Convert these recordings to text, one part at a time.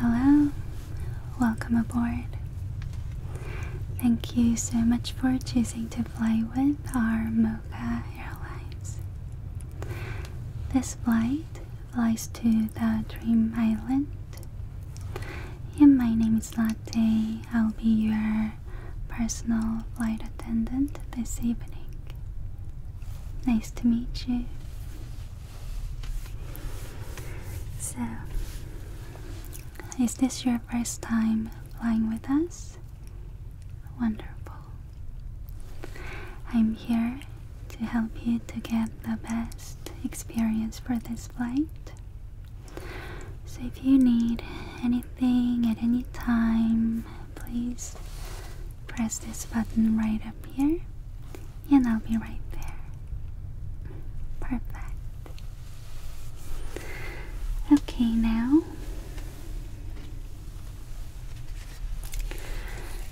Hello, welcome aboard. Thank you so much for choosing to fly with our Mocha Airlines. This flight flies to the Dream Island. And my name is Latte. I'll be your personal flight attendant this evening. Nice to meet you. So, is this your first time flying with us? Wonderful. I'm here to help you to get the best experience for this flight. So if you need anything at any time, please press this button right up here and I'll be right there. Perfect. Okay, now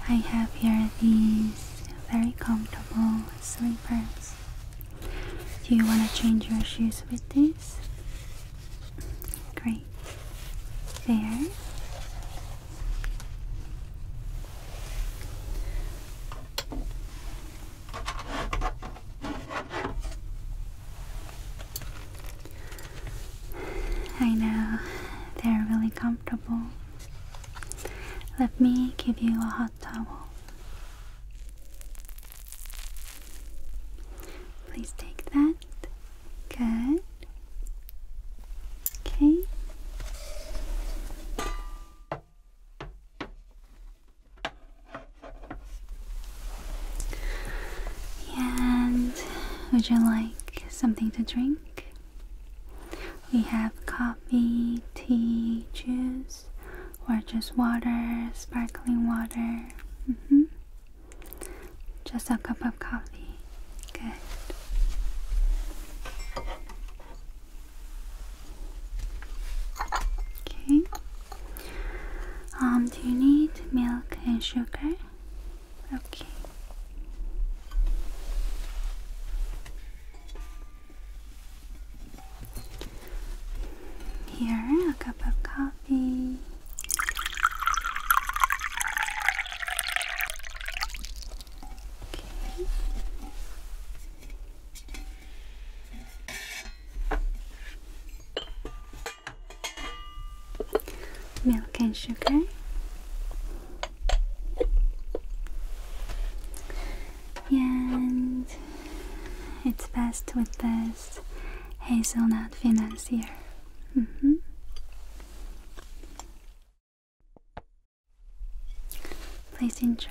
I have here these very comfortable slippers. Do you want to change your shoes with these? Great. There. I know they're really comfortable. Let me give you a hot towel. Please take that. Good. Okay. And would you like something to drink? We have coffee, tea, juice, or just water, sparkling water. -hmm. Just a cup of coffee. Good. Okay. Um, do you need milk and sugar? Okay. Here, a cup of coffee. Okay milk and sugar and it's best with this hazelnut financier mm-hmm. please enjoy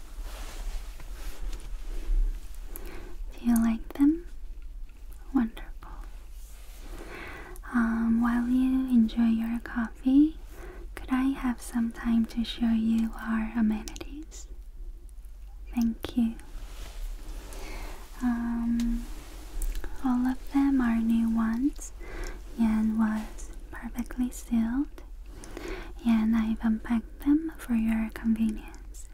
Do you like them? Wonderful. Um, while you enjoy your coffee, could I have some time to show you our amenities? Thank you. Um, all of them are new ones. Yan was perfectly sealed and I've unpacked them for your convenience.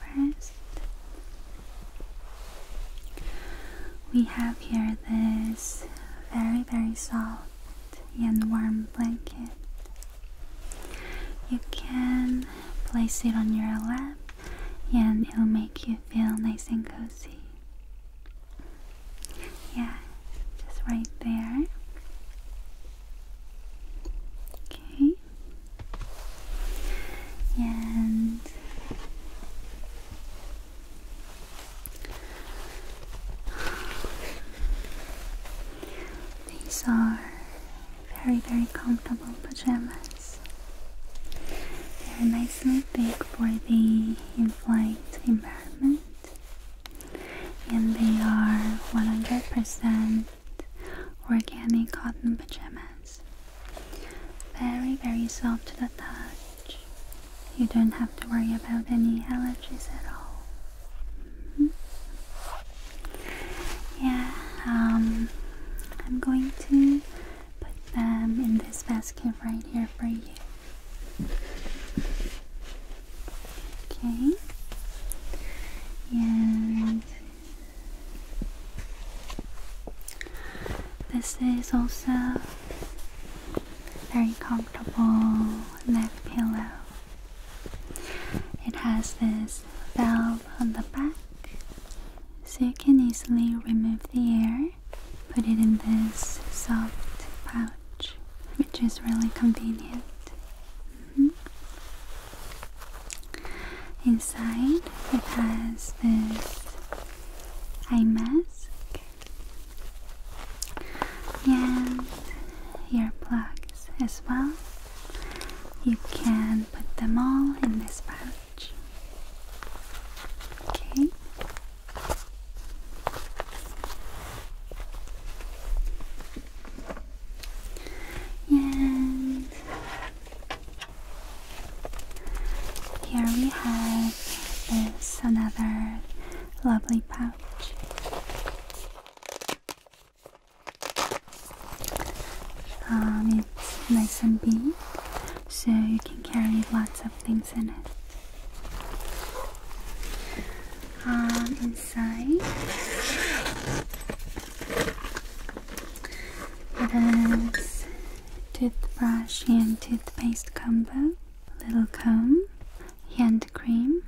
First, we have here this very, very soft and warm blanket. You can place it on your lap and it'll make you feel nice and cozy. Yeah, just right there. Okay. And these are very, very comfortable pajamas. They're nicely big for the in flight environment and they are 100% organic cotton pajamas. Very, very soft to the touch. You don't have to worry about any allergies at all. Mm-hmm. Yeah, um, I'm going to put them in this basket right here for you. Okay. And this is also very comfortable neck pillow. It has this valve on the back so you can easily remove the air, put it in this soft pouch which is really convenient. Mm-hmm. Inside, it has this eye mask and ear plugs as well. You can put them all in this pouch. Okay. And here we have this another lovely pouch. Um, it's nice and big, so you can carry lots of things in it. Um, inside. It is toothbrush and toothpaste combo, little comb, hand cream.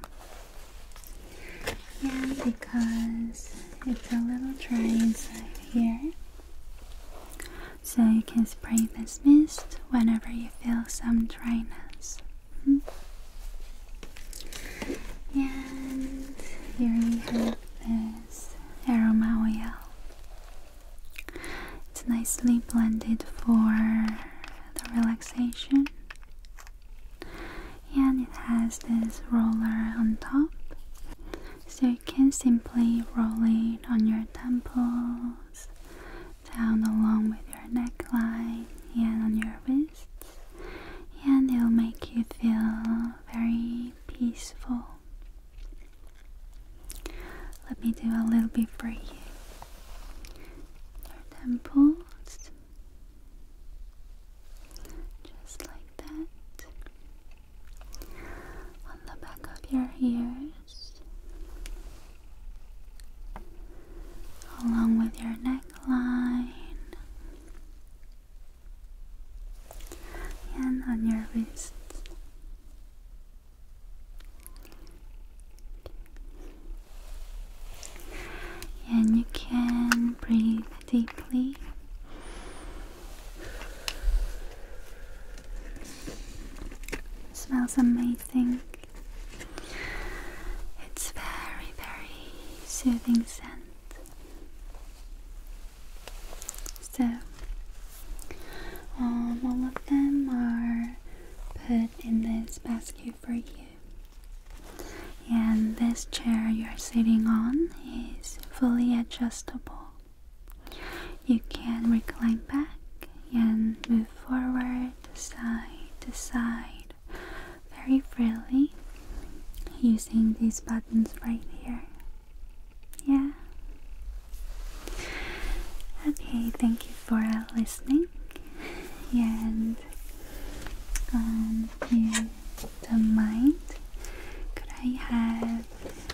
Yeah, because it's a little dry inside here. So you can spray this mist whenever you feel some dryness. Mm-hmm. And here we have this aroma oil. It's nicely blended for the relaxation. And it has this roller on top. So you can simply roll it on your temples down along with your neckline and on your wrists, and it'll make you feel very peaceful. Let me do a little bit for you. Your temples, just like that. On the back of your ears, along with your neckline and on your wrists. And you can breathe deeply. smells amazing. It's very, very soothing scent. So, um, all of them are put in this basket for you. And this chair you're sitting on is fully adjustable. You can recline back and move forward, side to side, very freely using these buttons right here. Yeah. Okay, thank you for listening. and um, you don't mind. Could I have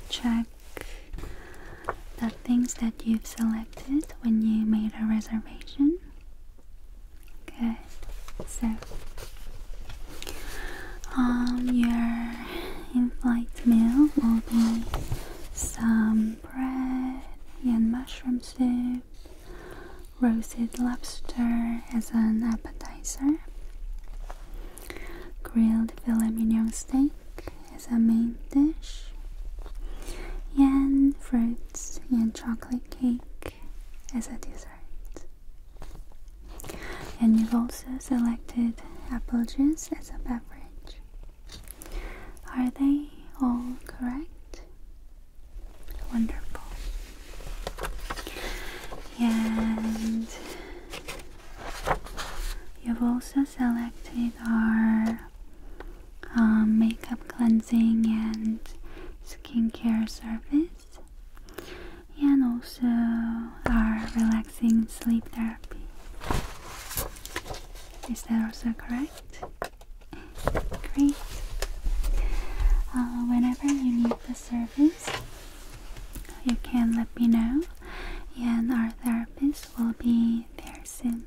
checked the things that you've selected when you made a reservation? Okay, So, um, your in-flight meal will be some bread and mushroom soup, roasted lobster as an appetizer, grilled filet mignon steak as a main dish, and fruits and chocolate cake as a dessert. And you've also selected apple juice as a beverage. Are they all correct? Wonderful. And you've also selected our um, makeup cleansing and skincare service, and also our relaxing sleep therapy. Is that also correct? Great. Uh, whenever you need the service, you can let me know, and our therapist will be there soon.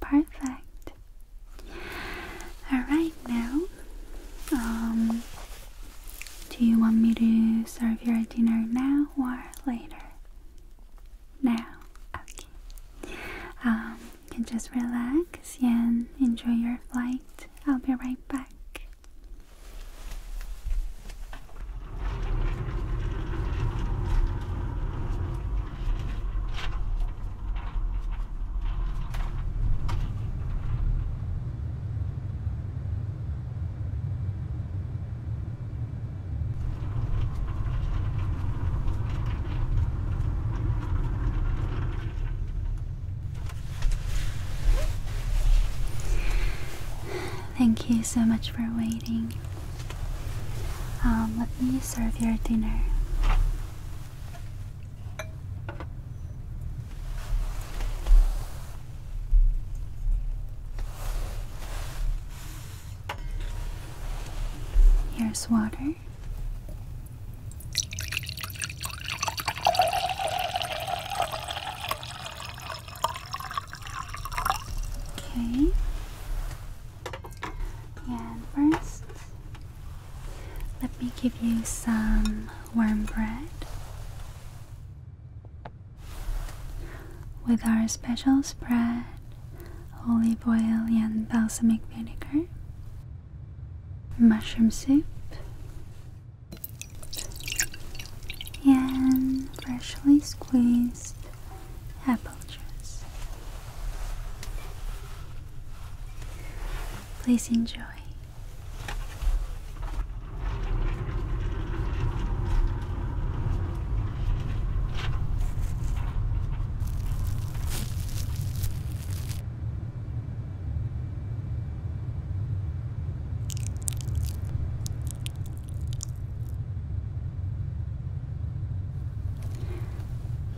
Perfect. Alright, now, um, do you want me to serve your dinner now or later? Now, okay. Um, you can just relax and enjoy your flight. I'll be right back. Thank you so much for waiting. Um, let me serve your dinner. Here's water. Okay. And first, let me give you some warm bread with our special spread olive oil and balsamic vinegar, mushroom soup, and freshly squeezed apple juice. Please enjoy.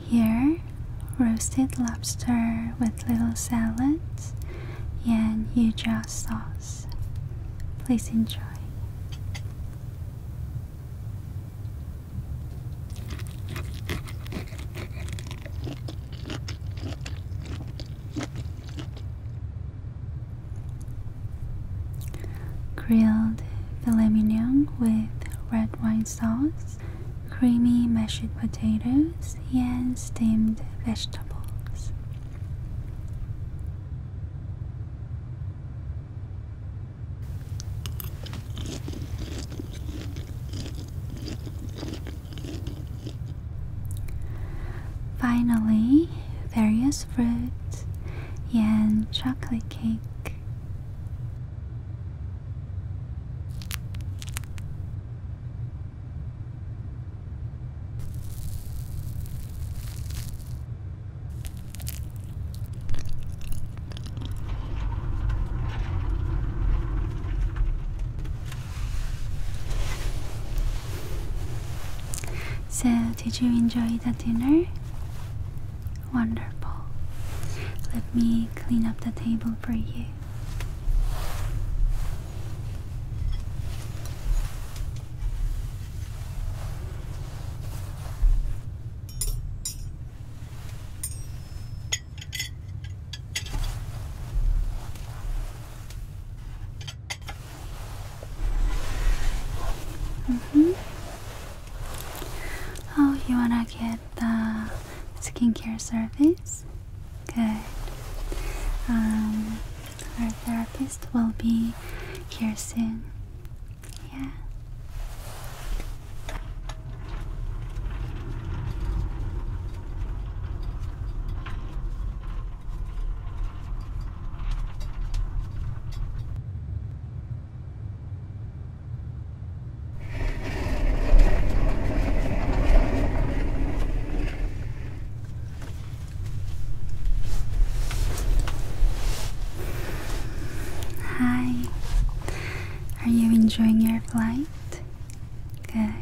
Here, roasted lobster with little salad and yuja sauce. Please enjoy grilled filet mignon with red wine sauce, creamy mashed potatoes, and steamed vegetables. Finally, various fruits and chocolate cake so, did you enjoy the dinner? Wonderful. Let me clean up the table for you. Mm -hmm. Oh, you wanna get the skincare service? Okay. Um, our therapist will be here soon. Yeah. Hi. Are you enjoying your flight? Good.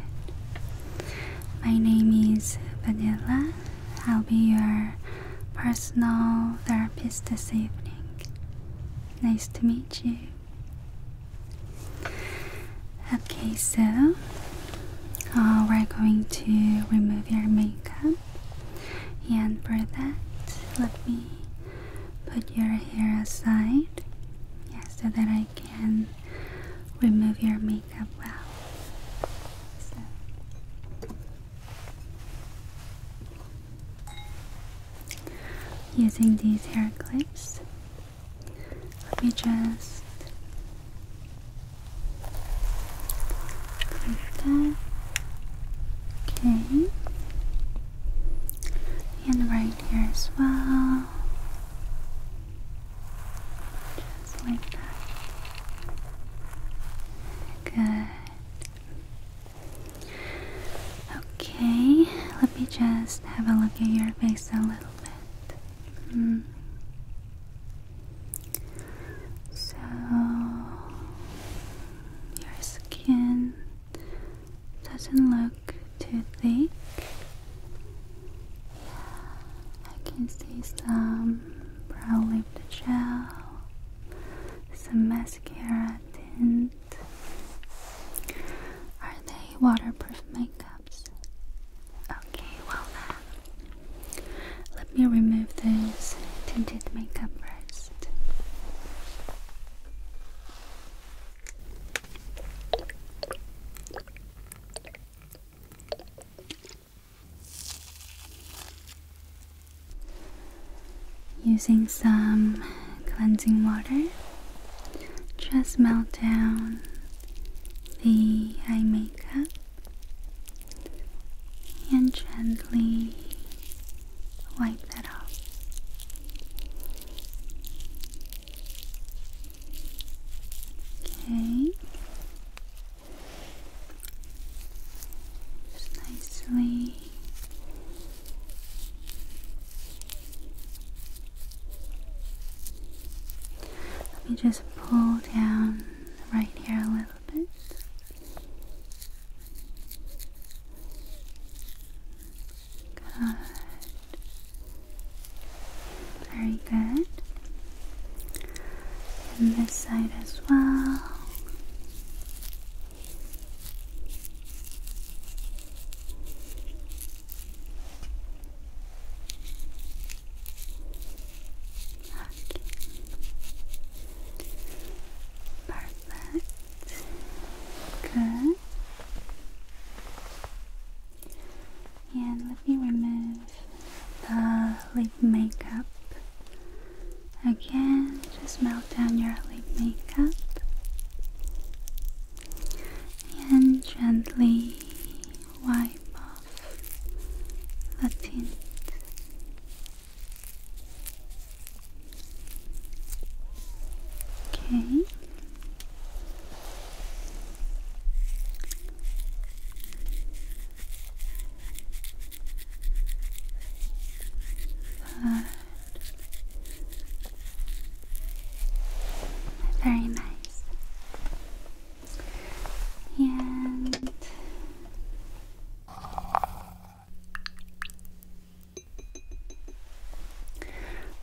My name is Vanilla. I'll be your personal therapist this evening. Nice to meet you. Okay, so uh, we're going to remove your makeup, and for that, let me put your hair aside yes, so that I can remove your makeup well using these hair clips. Let me just clip that. Okay. And right here as well. Just like that. Good. Okay, let me just have a look at your face a little bit. Hmm. So, your skin doesn't look too thick. Yeah, I can see some brow lift gel some mascara tint. Are they waterproof makeups? Okay, well then, uh, let me remove this tinted makeup first. Using some cleansing water, just melt down the eye makeup and gently wipe that off. Okay. Just nicely. Let me just pull down right here a little bit. Good. Very good. And this side as well. Perfect. Good. And let me remove the lip makeup Again, just melt down your lip makeup and gently wipe off the tint. Okay. Very nice. And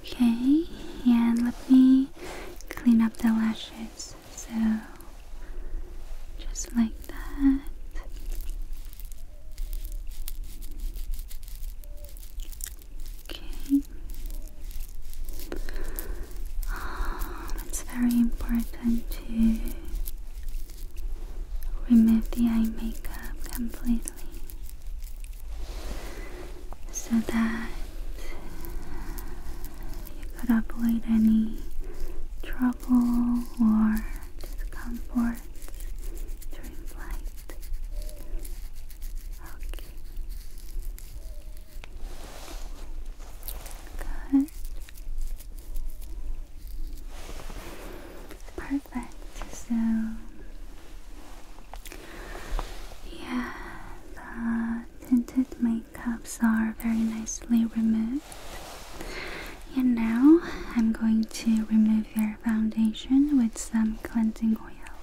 Okay, and let me clean up the lashes. So just like that. Okay. Oh, it's very important to remove the eye makeup completely so that you could avoid any trouble or discomfort hurts during Okay. Good. Perfect. So, yeah, the tinted makeups are very nicely removed. And now I'm going to remove your foundation with some cleansing oil.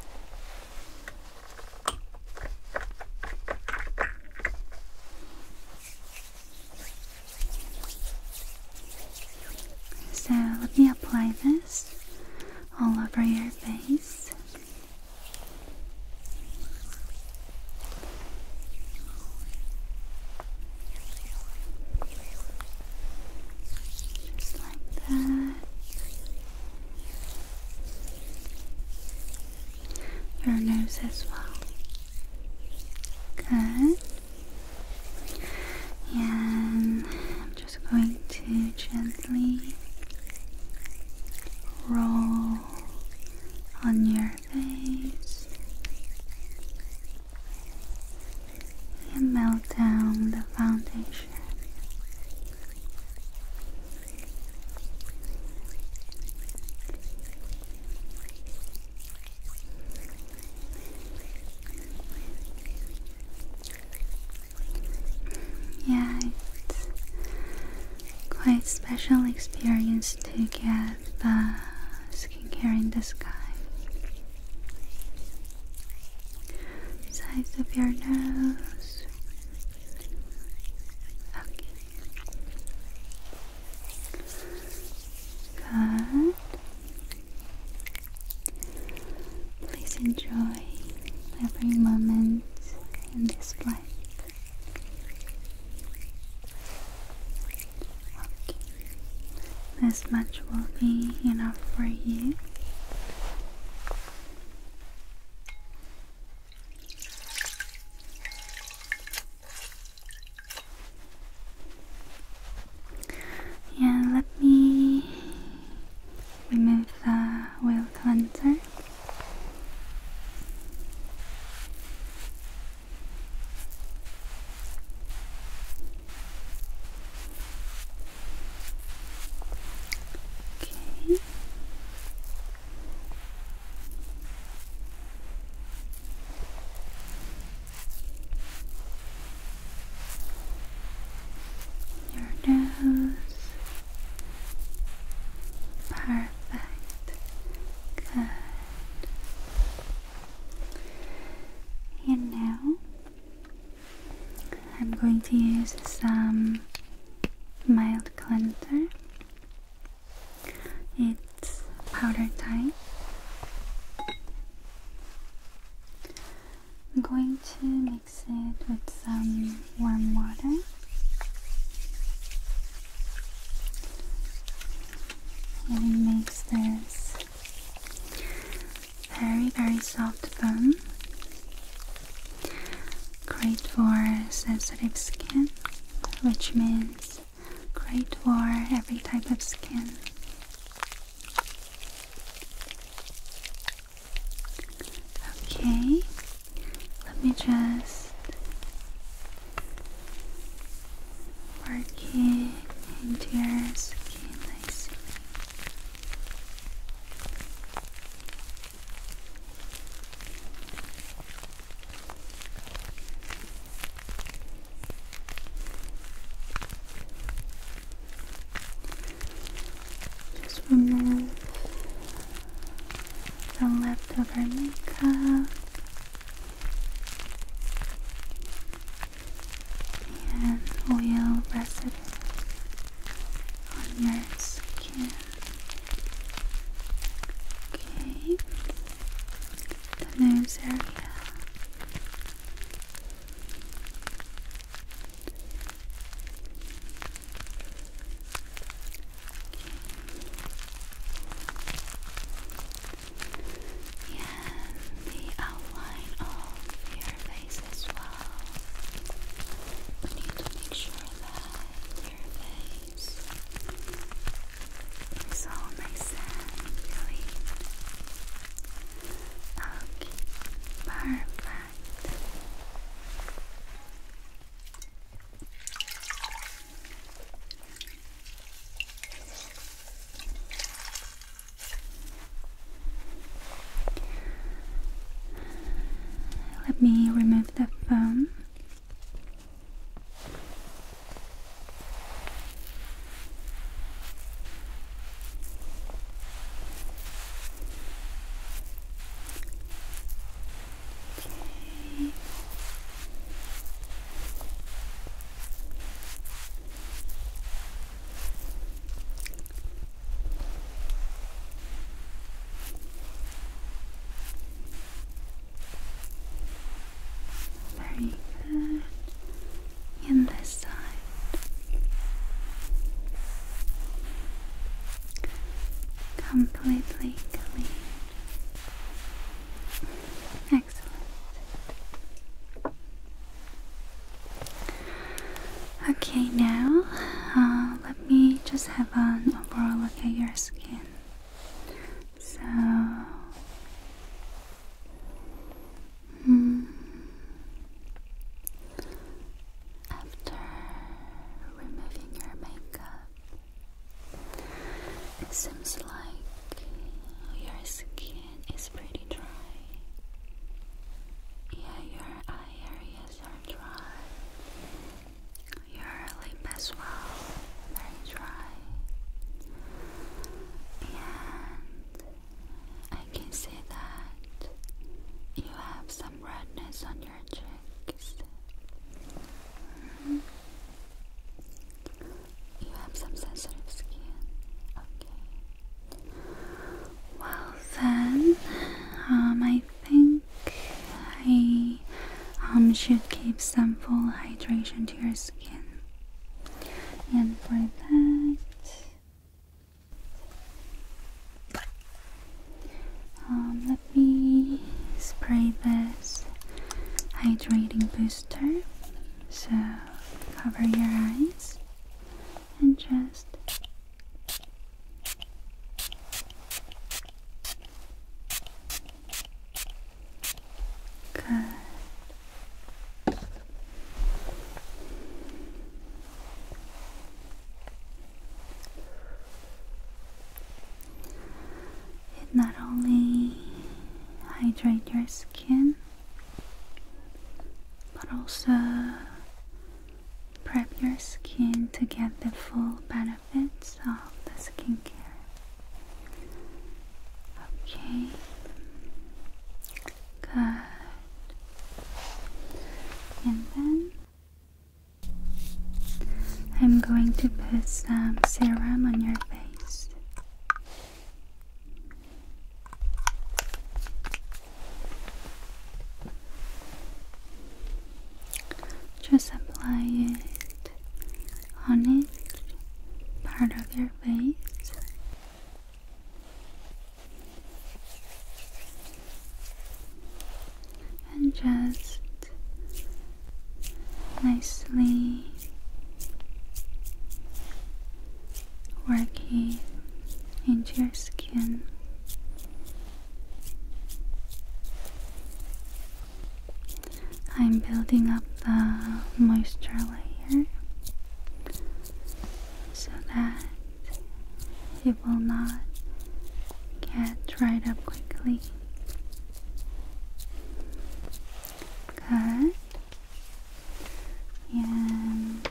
So let me apply this all over your face. Just like that. Your nose as well. Good. And I'm just going to gently roll on your face and melt down the foundation. Yeah, it's quite special experience to get the skincare in the sky. Size of your nose. Okay. Good. Please enjoy every moment in this life. This much will be enough for you. And let me remove the oil cleanser. Okay. Your nose. Perfect. Good. And now I'm going to use some mild cleanser. It's powder type. I'm going to mix it with some warm water. And mix this very, very soft foam. Great for sensitive skin, which means great for every type of skin. Okay, let me just working into your skin nicely. Just remove the leftover makeup and oil residue on your skin. Okay, the nose area and the outline of your face as well. We need to make sure that your face is all nice Okay, perfect. Let me remove the phone. Okay. Very good. And this side. Completely clean. Okay, now uh, let me just have an overall look at your skin. So, hmm, after removing your makeup, it seems like your skin it's pretty dry. Yeah, your eye areas are dry. Your lip as well, very dry. And I can see that you have some redness on your cheeks. Mm-hmm. You have some sensitive skin. Okay. Well then, um, I think I um, should keep some full hydration to your skin. And for that. Um, let me spray this hydrating booster so cover your eyes and just Good. It not only hydrate your skin but also prep your skin to get the full benefits of the skincare. Okay, good. And then I'm going to put some serum on your face. Just apply it on each part of your face. And just nicely working into your skin. I'm building up the moisture layer so that it will not get dried up quickly. Good and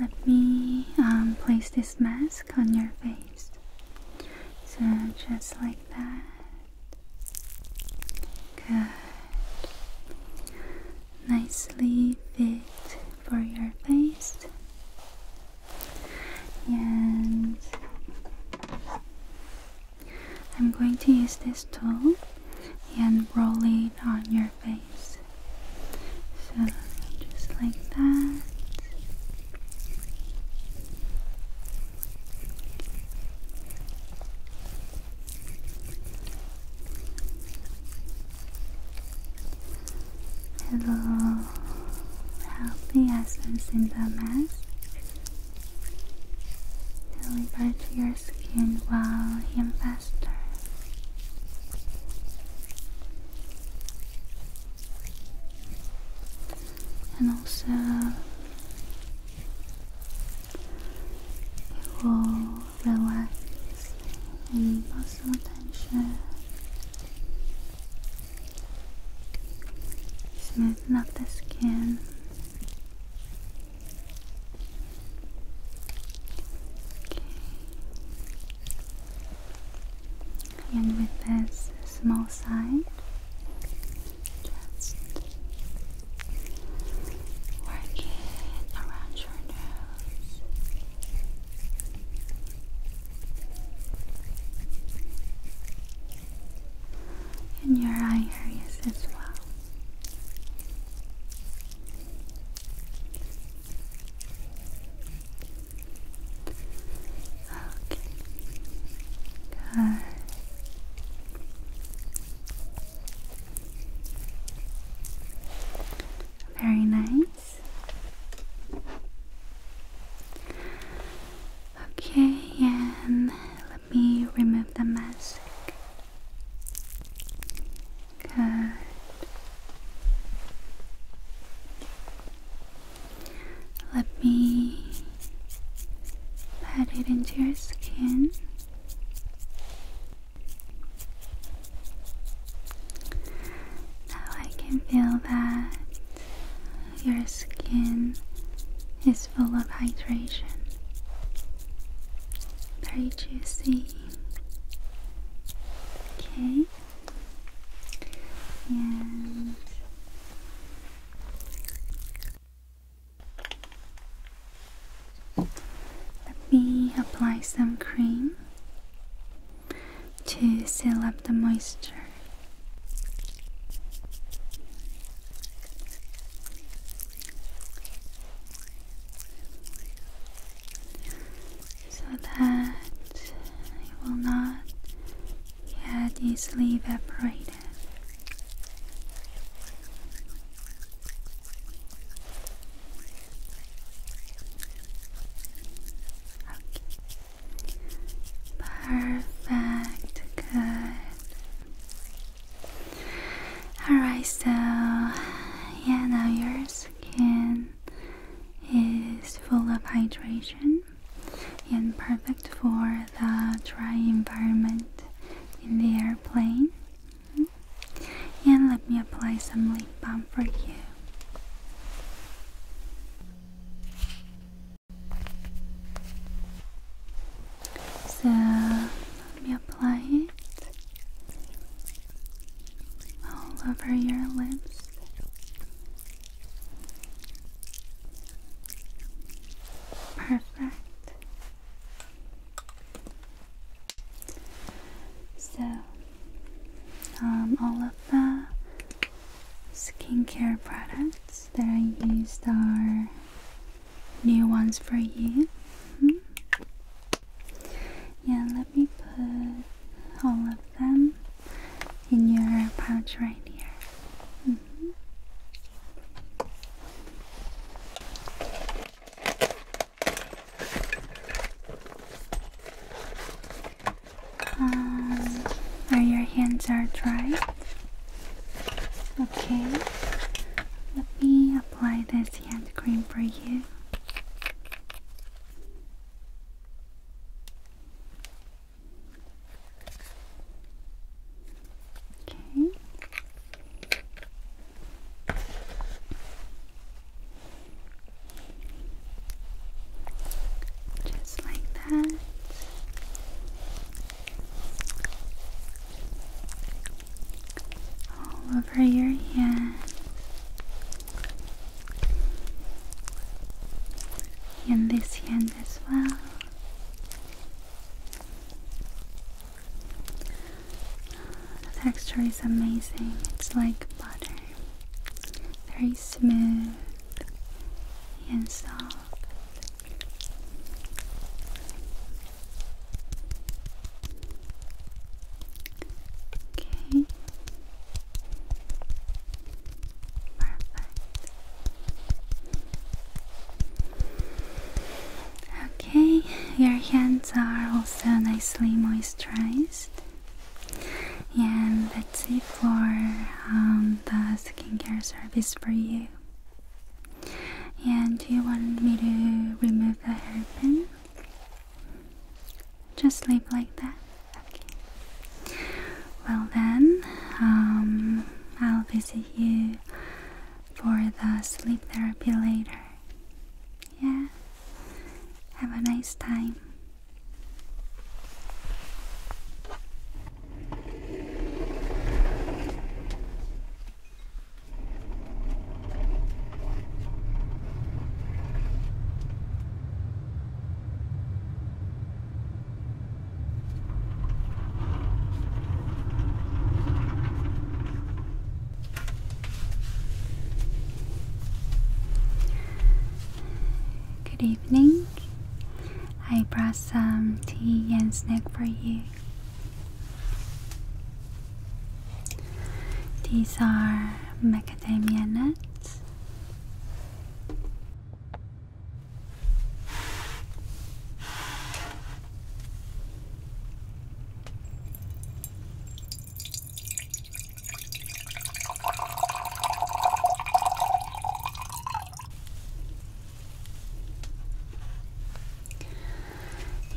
let me um, place this mask on your face. So, just like that. Good. Nicely fit for your face. And I'm going to use this tool and roll it on your face. So just like that. Hello, happy essence in the mask. Healing back to your skin while healing faster. And also it will relax any muscle tension. Smoothen up the skin. And with this small side, just work it around your nose. In your eye areas as well. Okay. Good. Very nice. Okay, and let me remove the mask. Good. Let me pat it into your skin. Now I can feel that your skin is full of hydration. Very juicy. Okay. And let me apply some cream to seal up the moisture. So that it will not yet easily evaporate. Perfect. Good. Alright, so yeah, now your skin is full of hydration and perfect for the dry environment in the airplane. And let me apply some lip balm for you. So let me apply it all over your lips. Perfect. So, um, all of the skincare products that I used are new ones for you. Mm-hmm. Yeah, let me put all of them in your pouch right here. Mm-hmm. Um, are your hands are dry? Okay. Let me apply this hand cream for you. Okay. Just like that. All over your hand, And this hand as well. The texture is amazing, it's like butter, very smooth and soft. Okay. Perfect. Okay, your hands are also nicely moisturized. And that's it for um, the skincare service for you. And do you want me to remove the hairpin? Just leave like that. Okay. Well then, um, I'll visit you for the sleep therapy later. Yeah, have a nice time. Good evening. I brought some tea and snack for you. These are macadamia nuts.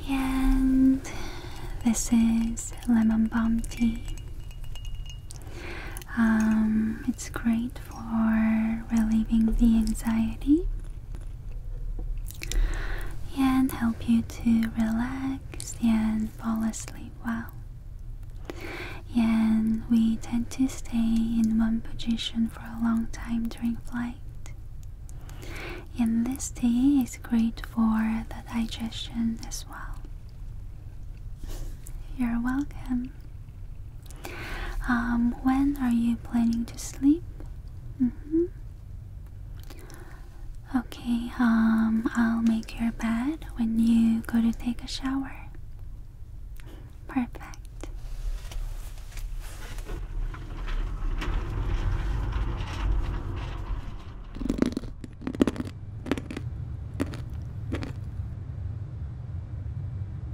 And this is lemon balm tea. Um, it's great for relieving the anxiety and help you to relax and fall asleep well. And we tend to stay in one position for a long time during flight. And this tea is great for the digestion as well. You're welcome. Um, when are you planning to sleep? Mm-hmm. Okay, um, I'll make your bed when you go to take a shower. Perfect.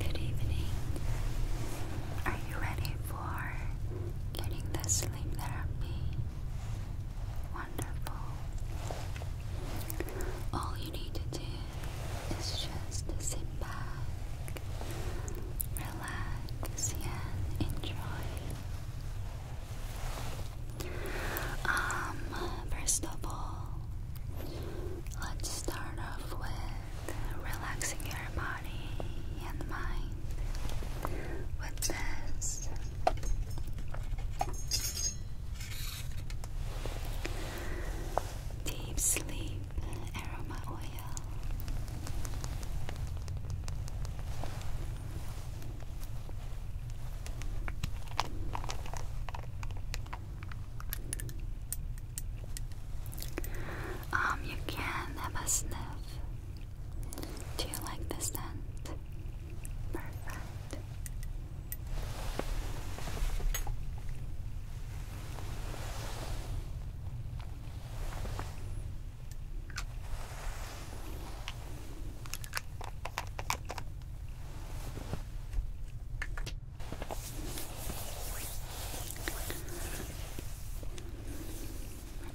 Good evening. Are you ready for getting the sleep therapy? wonderful. All you need to do is just sit back, relax, and enjoy. Um, first of all, let's start off with relaxing your body and mind with this. Deep Sleep Aroma Oil. Um, you can have a sniff. Do you like the scent? Perfect.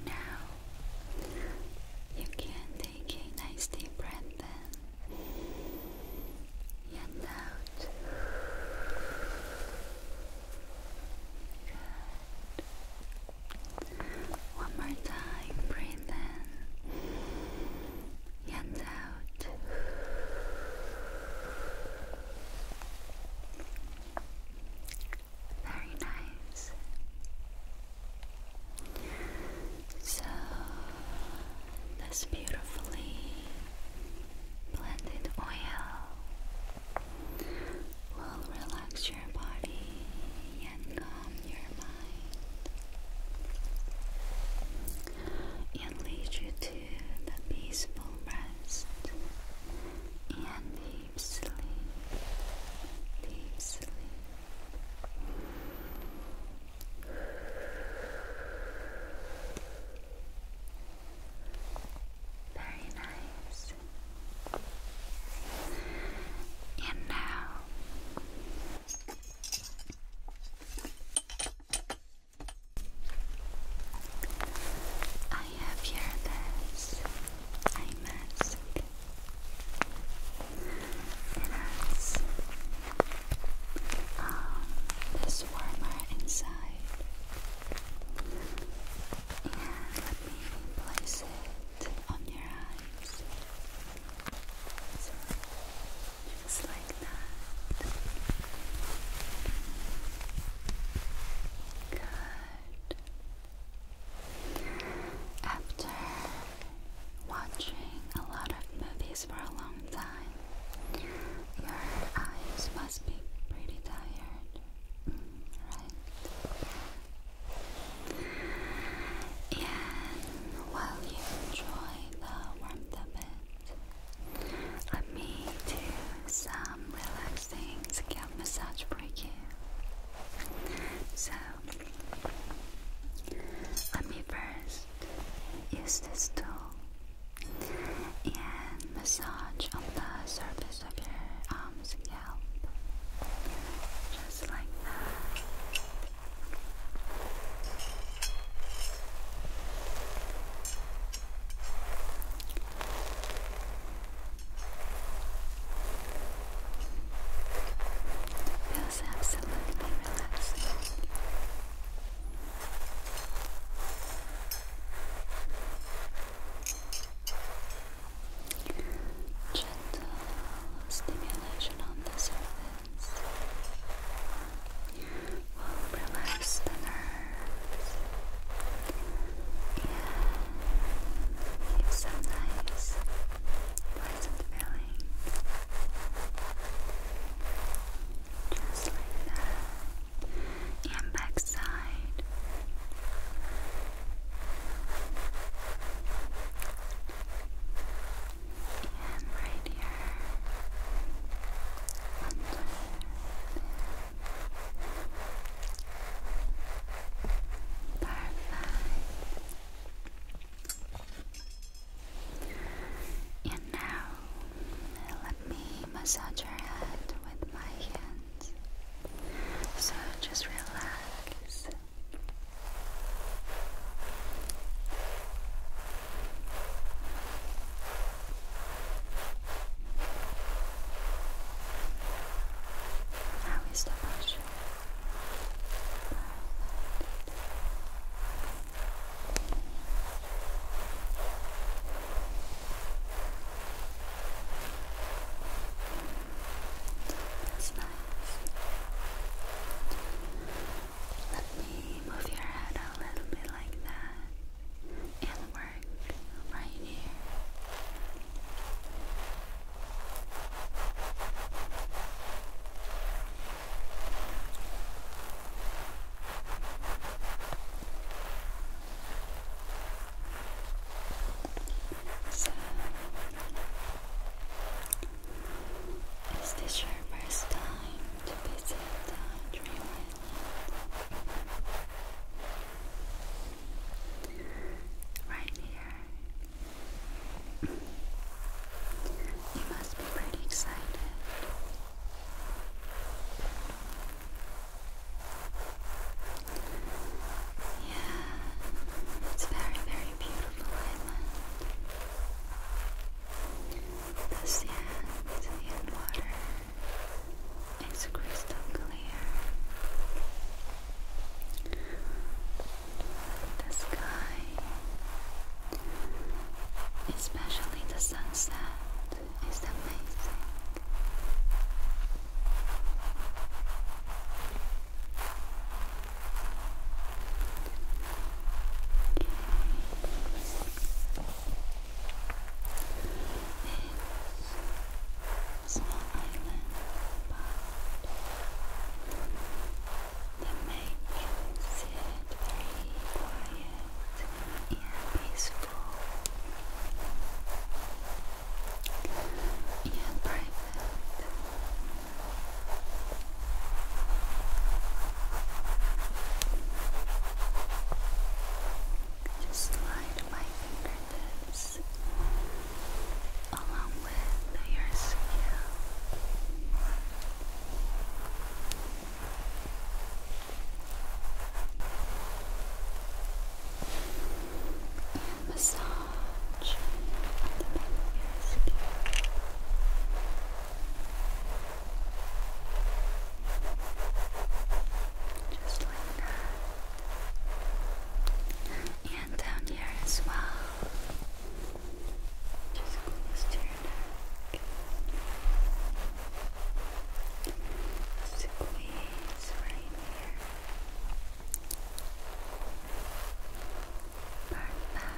Now you can Take a nice deep breath in and out. Good. One more time. Breathe in Very nice. So this beautifully blended oil will relax your body and calm your mind and lead you to the peaceful rest and deep sleep. Deep sleep. Very nice. And now I have here this eye mask. It's um, this warmer inside. And let me place it on your eyes. just like that. Good. After watching a lot of movies for a long time, your eyes must be pretty tired, right? And while you enjoy the warmth of it, let me do some relaxing scalp massage for you. So, let me first Use this tool and massage on the surface of your arms and just like that. Feels absolutely relaxing. Gentle stimulation on the surface will relax the nerves and give some nice, pleasant feeling. Just like that. And back side. And right here. Under there. Perfect. And now let me massage your head with my hands. So just relax. How is the pressure? That's nice. Let me move your head a little bit like that and work right here. So, is this your first time to visit the Dream Right here. You must be pretty excited. Yeah, it's very, very beautiful island. The sand and water is crystal clear the sky, especially the sunset, is amazing. Okay. It's small island, but that makes it very quiet and peaceful and private. Just slide my fingertips along with your scale massage Just like that. And down here as well. Just close your neck. Squeeze right here. Perfect. Perfect.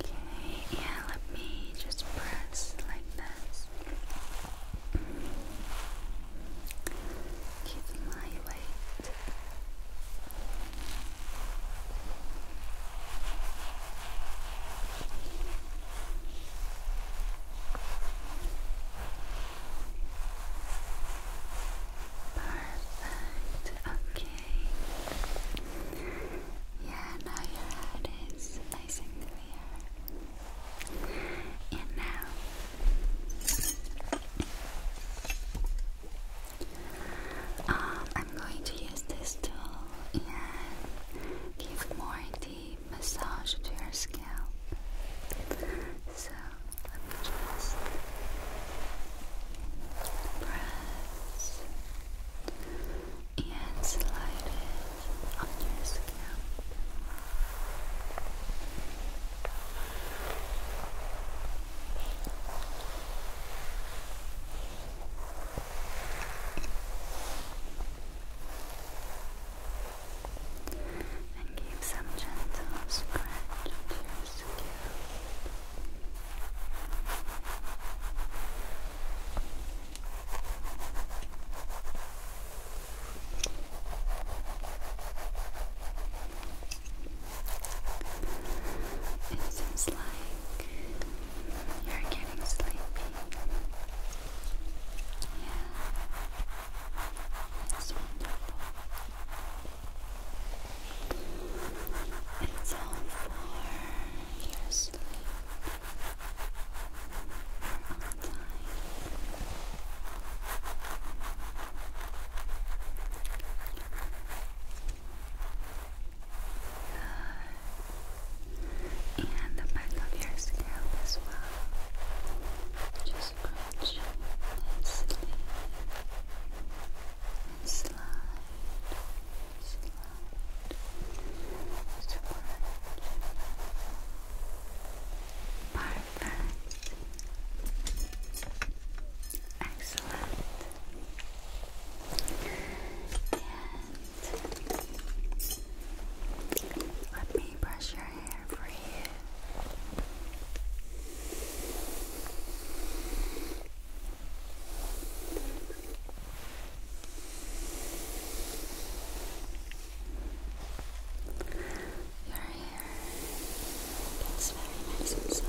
Okay, yeah, let me just press like this. Give my weight. Perfect. Okay. Yeah, now your head is nice and clear. And now um, I'm going to use this tool and give more massage to your scalp. So let me just press and slide it on your scalp and give some gentle scratch to your scalp. It seems like you're getting sleepy. Yeah. It's wonderful. It's all for your sleep. You're on And the back of your scalp as well. Just crunch and sleep and slide, slide, scratch. Perfect. Excellent. And let me brush your here for you. Your hair gets very nice and soft.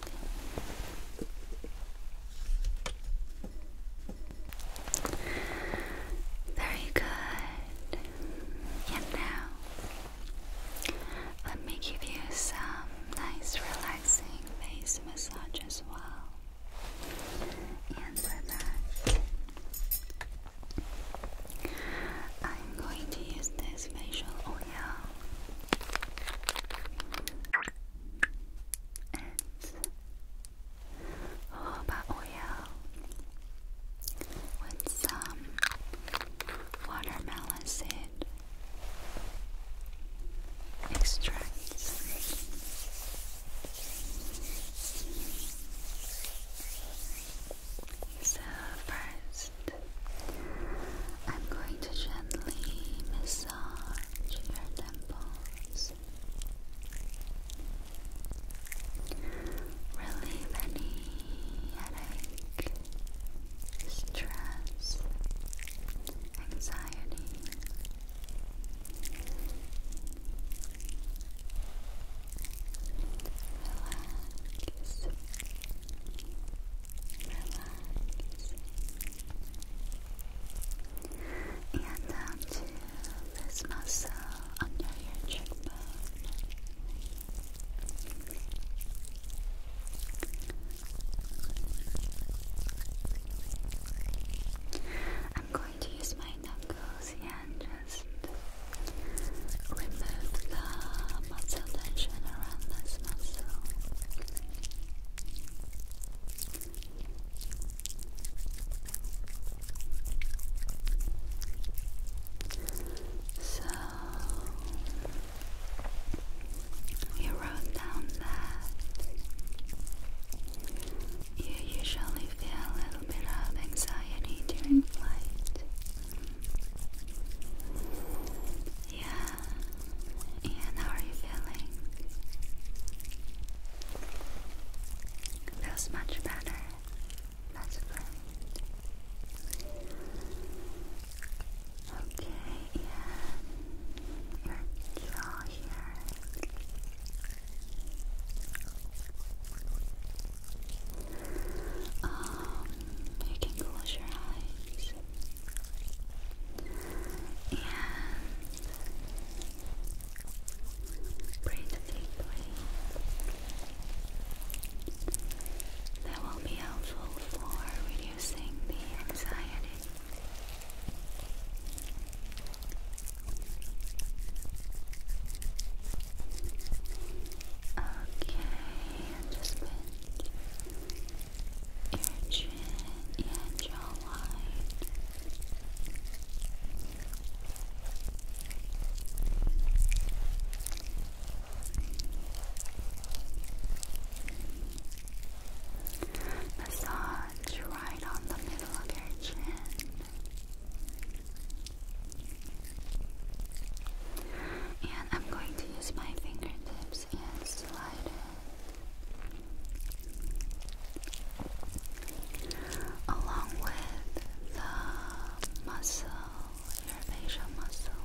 Very good. And now, let me give you some nice relaxing face massage as well. And for that, I'm going to use this facial oil and jojoba oil with some watermelon seed extracts. So first, I'm going to gently massage massage your temples. Relieve any headache, stress, anxiety. Relax and down to this muscle under your cheekbone. I'm going to use my knuckles and just remove the muscle tension around this muscle. So we wrote down that you usually feel a little bit of anxiety during flight. Yeah. And how are you feeling? Feels much better. That's great. Okay, and your jaw here. Um, you can close your eyes and breathe deeply. That will be helpful for reducing the anxiety. Okay, your chin and jawline. Massage right on the middle of your chin. And I'm going to use my fingertips and slide it along with the muscle, your facial muscles.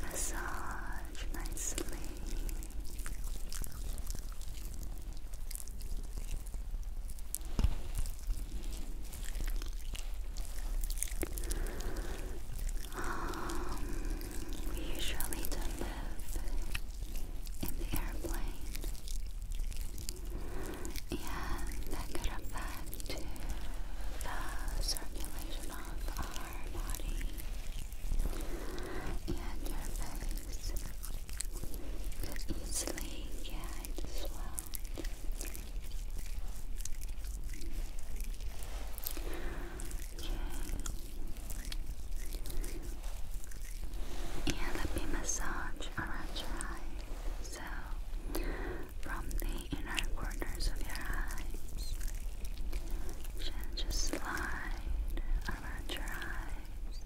Massage nicely. Um, we usually don't live in the airplane. Yeah, that could affect the uh, circulation of our body and your face could easily get swelled. Okay. And let me massage around your eyes. So from the inner corners of your eyes. Just slide around your eyes.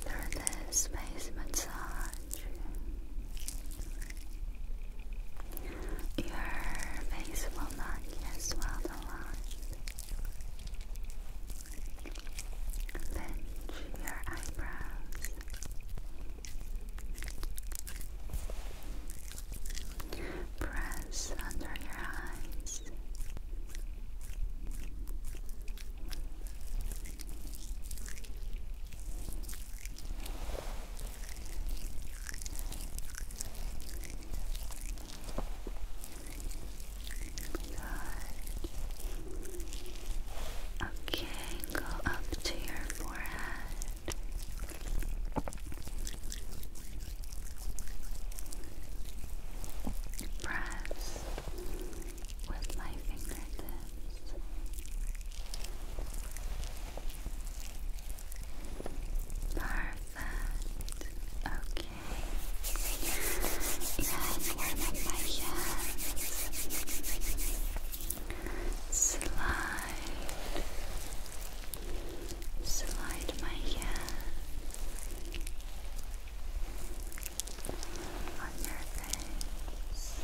Through this space massage, your face will not get swelled a lot. Lynch your eyebrows. Press under your eyes. Good. Okay, go up to your forehead. Press with my fingertips. Perfect. Okay. Now warm up my hands slide, slide my hand on your face.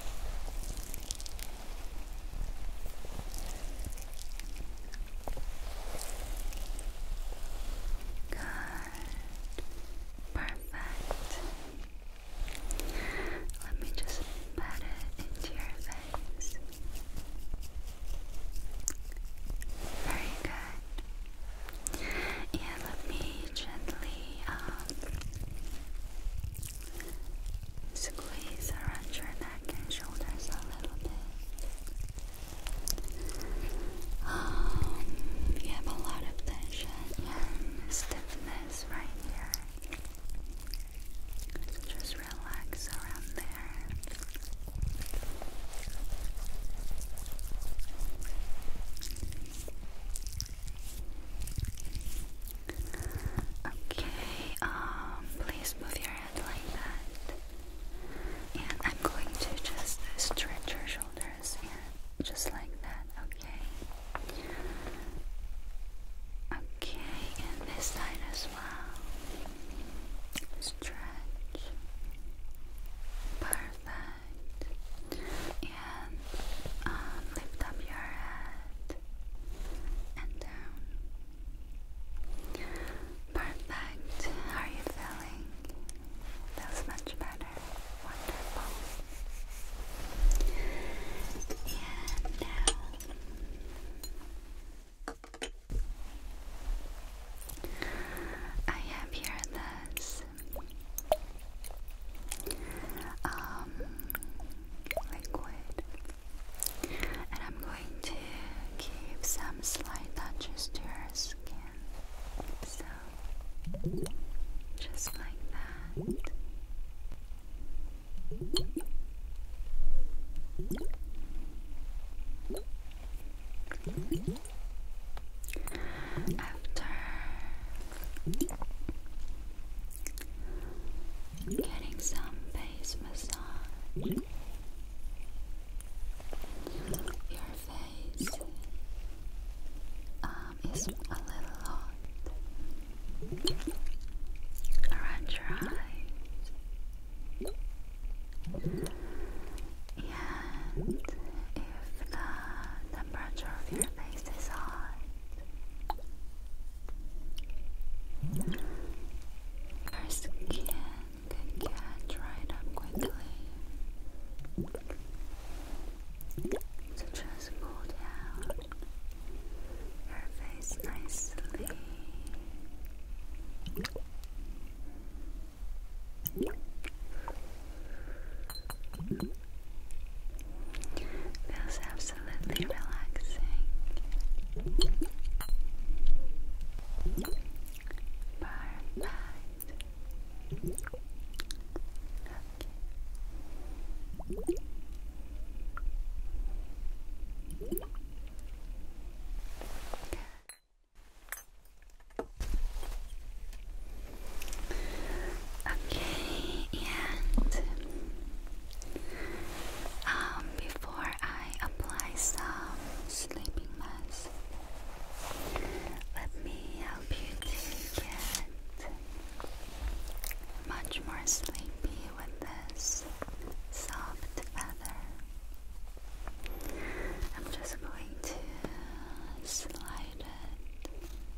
Good. Perfect. Let me just pat it into your face. Very good. And let me gently um, squeeze around your neck and shoulders a little bit. Um, you have a lot of tension and stiffness this right here. just relax around there. Okay, um, please move your head like that. And I'm going to just stretch your shoulder just like that, okay? Okay, and this side as well. Stretch. Perfect. And um, lift up your head and down. Perfect. How are you feeling? Feels much better. Wonderful. And now um, I have here this um, liquid and I'm going to give some slight touches to your skin just like that. After getting some base massage, your face, uh, it's a little hot. Around your eyes. And if the temperature of your face is hot, your skin can get up quickly to just pull down your face nicely. Feels absolutely relaxing. Perfect. Okay. and um, before I apply some sleeping mask, let me help you to get much more sleepy with this soft feather. I'm just going to slide it,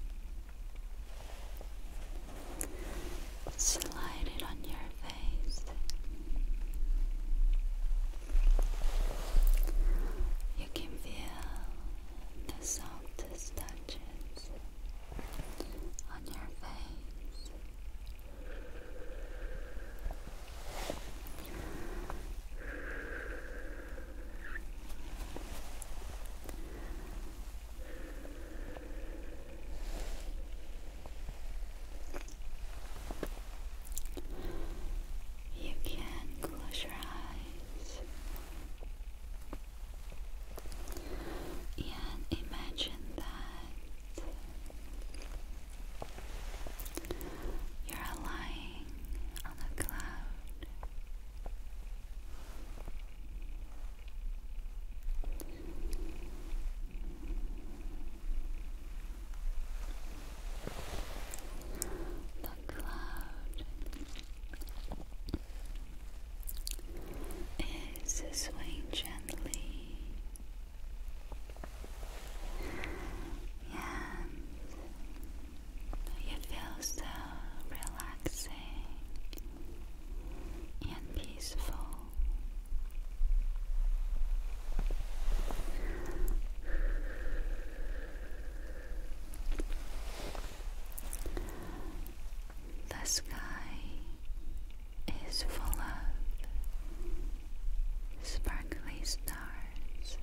slide it on your face. You can feel the softest touches on your face. You can close your eyes and imagine that you're lying on a cloud the cloud is swaying gently and you feel so relaxing and peaceful. The sky is full of sparkly stars.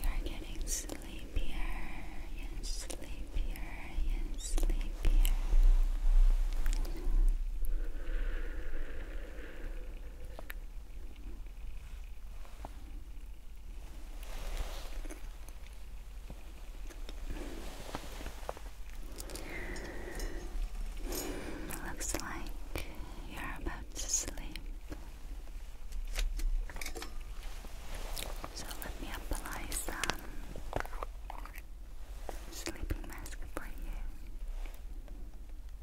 You're getting sleepier and sleepier and sleepier. Looks like you're about to sleep. So let me apply some sleeping mask for you.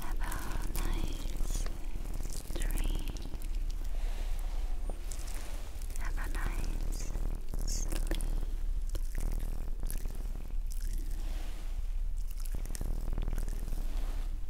Have a nice dream. Have a nice